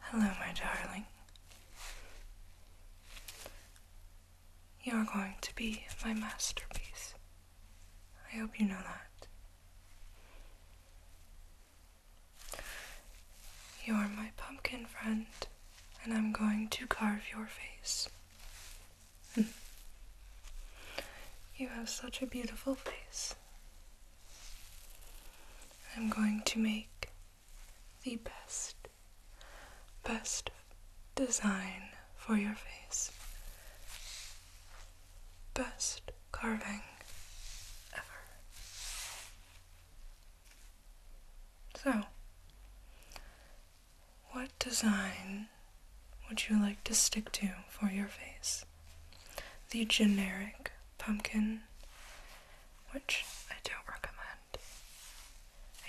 Hello, my darling. You're going to be my masterpiece. I hope you know that. You're my pumpkin friend, and I'm going to carve your face you have such a beautiful face. I'm going to make the best, best design for your face. Best carving ever. So, what design would you like to stick to for your face? The generic pumpkin, which I don't recommend.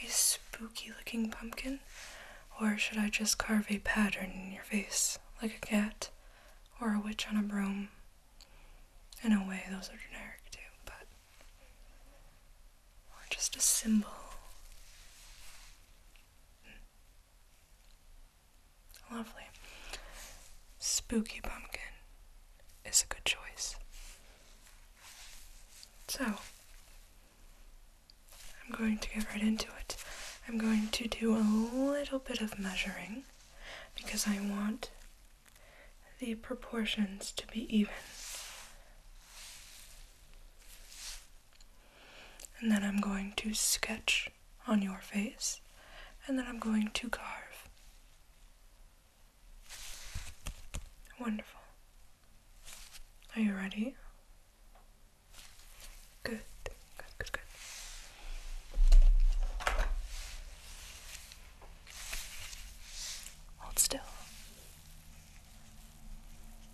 A spooky looking pumpkin? Or should I just carve a pattern in your face, like a cat or a witch on a broom? In a way, those are generic too, but or just a symbol. Lovely. Spooky pumpkin is a good choice. So, I'm going to get right into it. I'm going to do a little bit of measuring because I want the proportions to be even. And then I'm going to sketch on your face, and then I'm going to carve. Wonderful. Are you ready? Good, good, good, good. Hold still.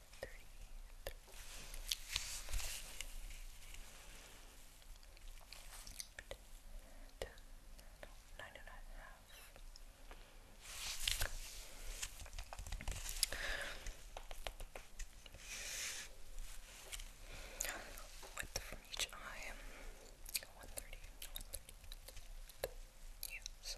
three. Ten, nine and a half. from each eye. One thirty. One thirty. Yes.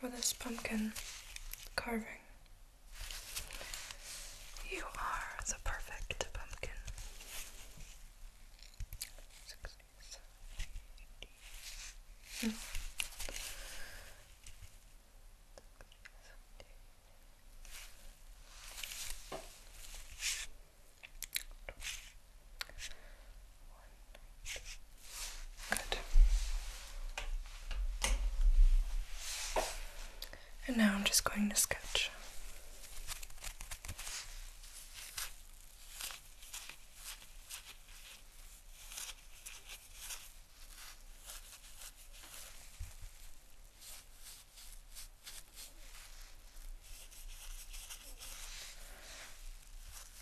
for this pumpkin carving. You are the perfect pumpkin. 60, Good. And now I'm just going to sketch.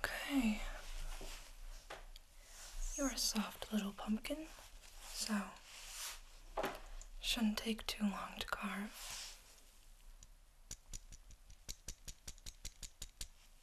Okay. You're a soft little pumpkin, so shouldn't take too long to carve.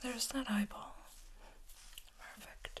There's that eyeball. Perfect.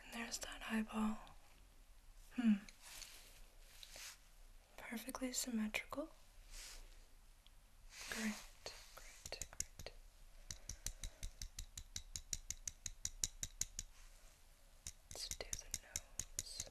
And there's that eyeball. Hmm. Perfectly symmetrical. Great, great, great. let the nose.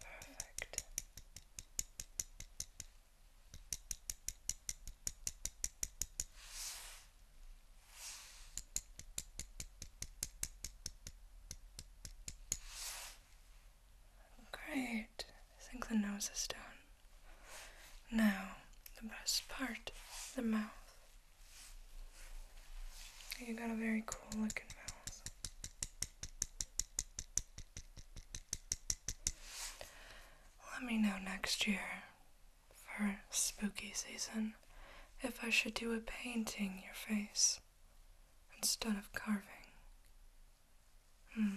Perfect. Great. I think the nose is done. Now, the best part, the mouth. You got a very cool looking mouth. Let me know next year for spooky season if I should do a painting your face instead of carving. Hmm.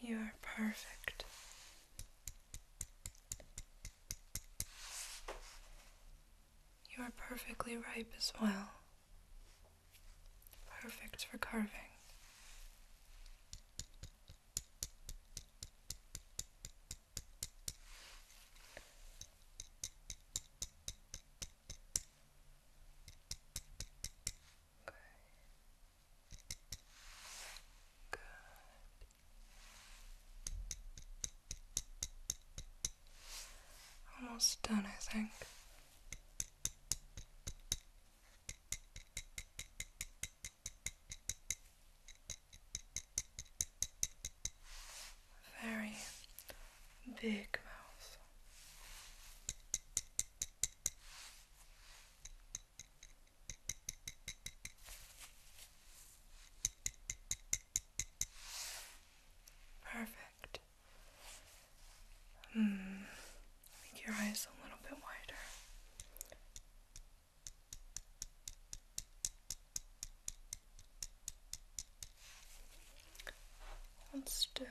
You are perfect. You are perfectly ripe as well. Perfect for carving. Good. Almost done, I think very big mouth. Perfect. Hmm. Make your eyes a little bit wider. Let's do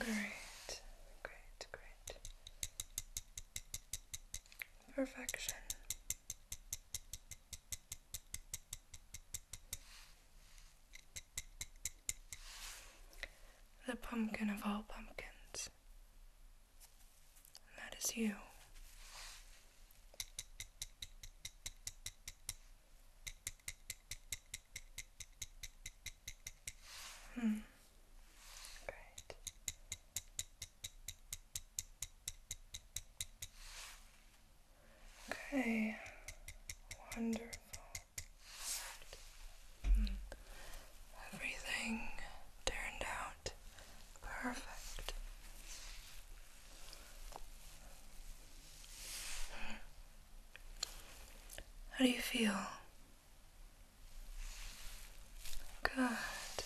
Great, great, great. Perfection. The pumpkin of all pumpkins. that is you. Hmm. Great. Okay, wonderful. Hmm. Everything turned out perfect. Hmm. How do you feel? Good,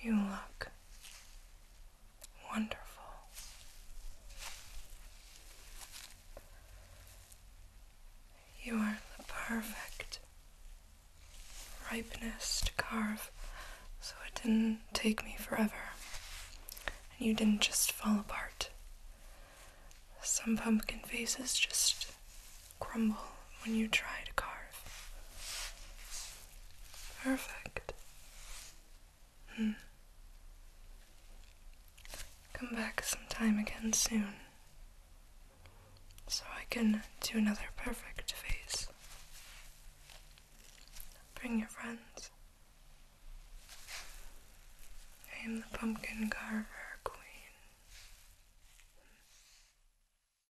you look wonderful. You are the perfect ripeness to carve, so it didn't take me forever. And you didn't just fall apart. Some pumpkin faces just crumble when you try to carve. Perfect. Hmm. Come back sometime again soon so I can do another perfect face. Bring your friends. I am the pumpkin carver queen.